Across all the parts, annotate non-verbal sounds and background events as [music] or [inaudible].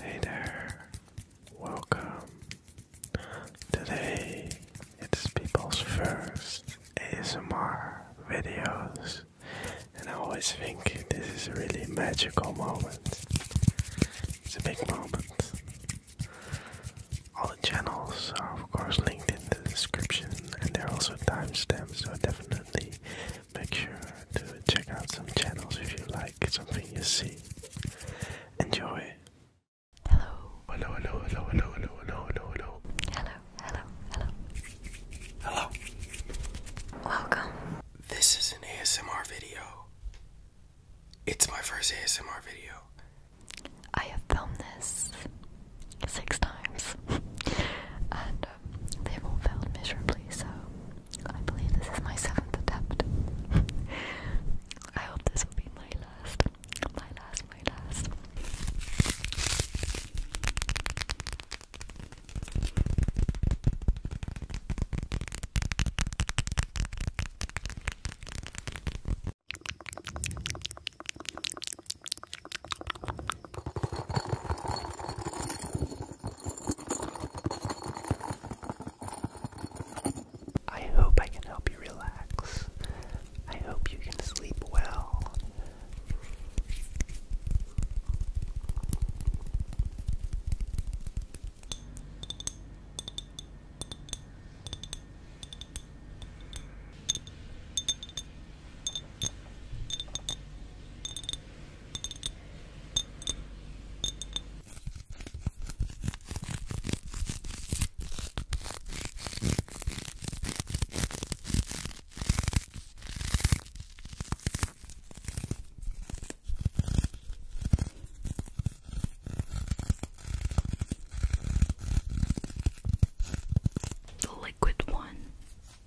Hey there, welcome. Today it's people's first ASMR videos, and I always think this is a really magical moment. It's a big moment. All the channels are, of course, linked in the description, and there are also timestamps, so definitely make sure to check out some channels if you like something you see. Enjoy. Hello. Hello, hello, hello, hello, hello, hello, hello, hello. Hello, hello, hello. Hello. Welcome. This is an ASMR video. It's my first ASMR video. I have filmed this six times. [laughs] and uh, they've all failed miserably, so I believe this is my seventh attempt. [laughs] I hope this will be my last, my last, my last. I hope I can help you relax. I hope you can sleep well. The liquid one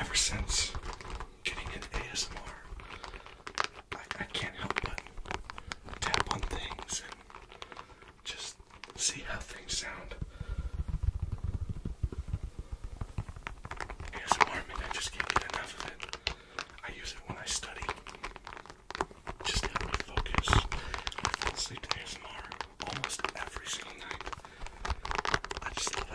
Ever since getting an ASMR, I, I can't help but tap on things just see how things sound. Here's warming, I just can't get enough of it. I use it when I study. Just help me focus. I fall asleep to ASMR almost every single night. I just love it.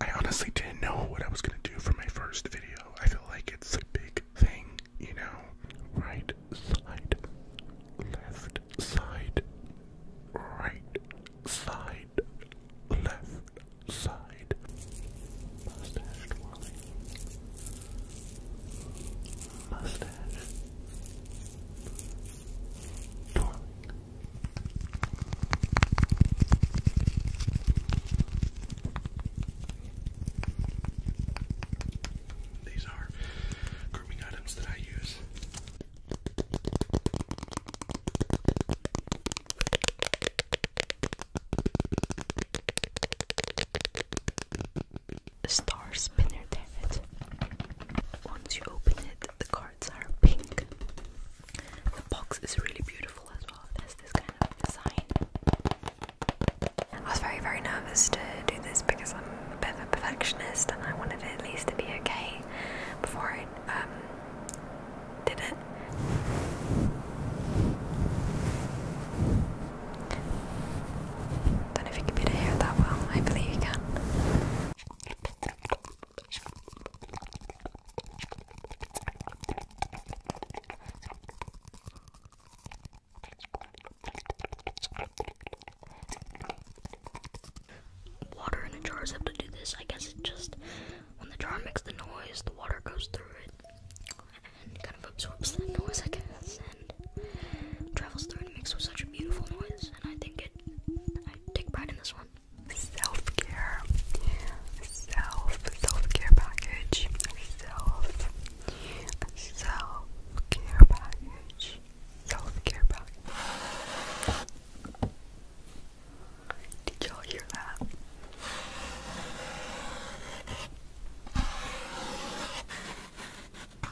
I honestly didn't know what I was gonna do for my first video. I feel like it's a big thing, you know? Right side, left side, right side, left side. Mustache twirling. Mustache twirling. These are grooming items that I use. Star spinner, damn it. Once you open it, the card cards are pink. The box is really beautiful as well. It this kind of design. I was very, very nervous to do this because I'm a bit of a perfectionist and I wanted at least to be okay before I um, did it. Don't know if you can be able to that well. Hopefully you can. Water in the jars have to do this. I guess it just when the jar makes the noise, the water goes through it and kind of absorbs that noise, I guess, and travels through and makes such a beautiful noise. And I think it. I take pride in this one. Self care, self self care package, self self care package, self care package. Did y'all hear that?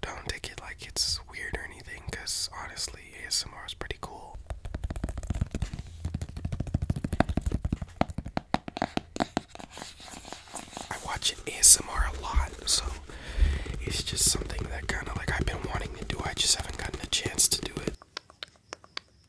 Don't take it like it's weird or anything, because honestly, ASMR is pretty cool. I watch ASMR a lot, so it's just something that kind of like I've been wanting to do, I just haven't gotten a chance to do it.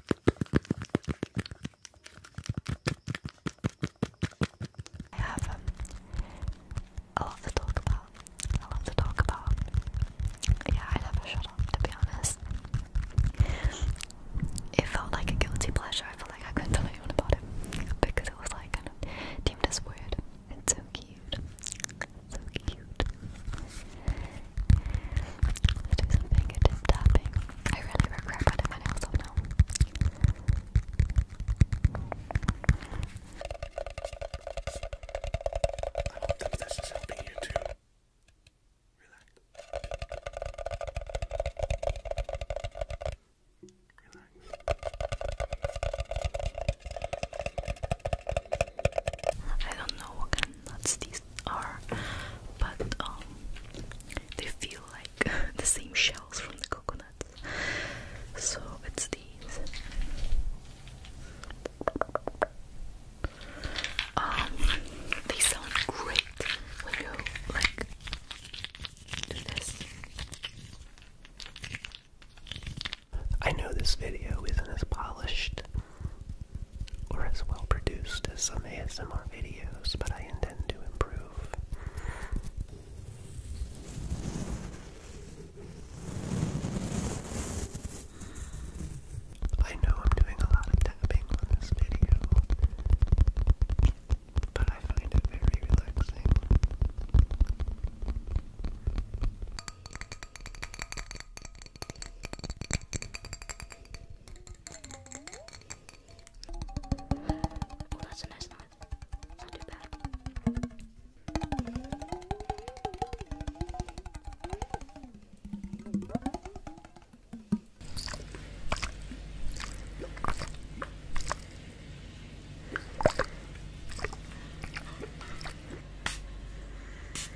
I have um, a lot to talk about. A lot to talk about. Yeah, I never shut up, to be honest. It felt like a guilty pleasure. I felt like I couldn't tell anyone about it because it was like kind of deemed as weird. It's so cute. So cute. Let's do some fingertip tapping. I really regret putting my nails up now. I hope that this is helping you too. relax. Relax. I don't know what kind of nuts these are, but um, they feel like [laughs] the same shells from the coconuts. So it's these. Um, they sound great when you like do this. I know this video isn't as polished or as well produced as some ASMR videos, but I intend to improve. I know I'm doing a lot of tapping on this video, but I find it very relaxing. Oh, that's a nice one. Not too bad.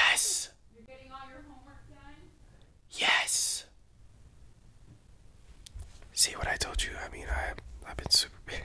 Yes. Yes. See what I told you? I mean, I I've been super [laughs] busy.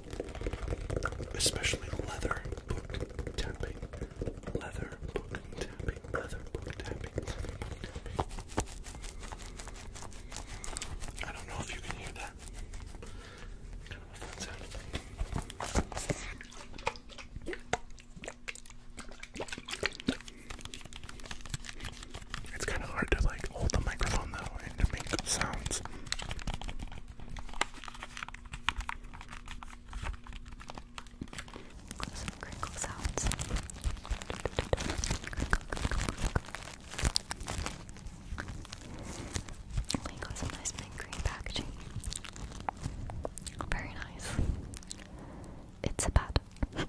especially leather book tapping, leather book tapping, leather book tapping, I don't know if you can hear that. It's kind of hard to like hold the microphone though and to make sounds. Some crinkle sounds. We got some nice big packaging. Very nice. [laughs] It's a pad. [laughs]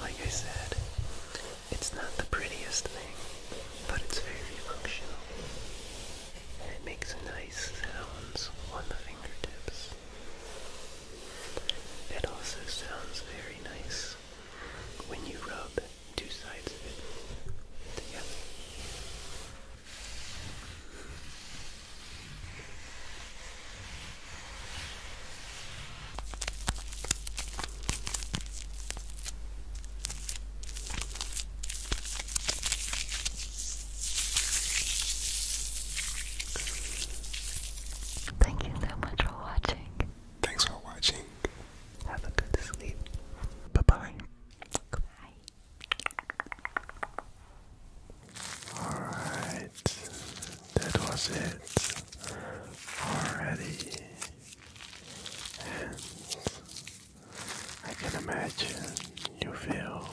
Like I said, it's not the prettiest thing, but it's very functional. it makes nice sounds on the fingertips. It also sounds very nice when you rub two sides of it together. Thank you so much for watching. Thanks for watching. Have a good sleep. Bye bye. Bye. All right. That was it already. I can imagine you feel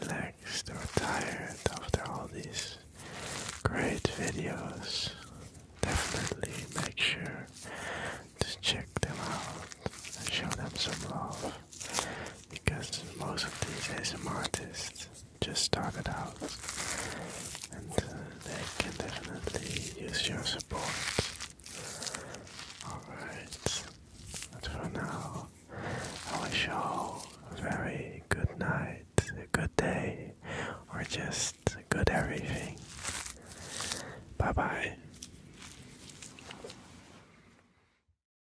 relaxed or tired after all these great videos. Definitely make sure to check them out and show them some love because most of these ASMR artists just started out, and uh, they can definitely use your support. Alright, but for now, I wish you all a very good night, a good day, or just good everything. Bye bye.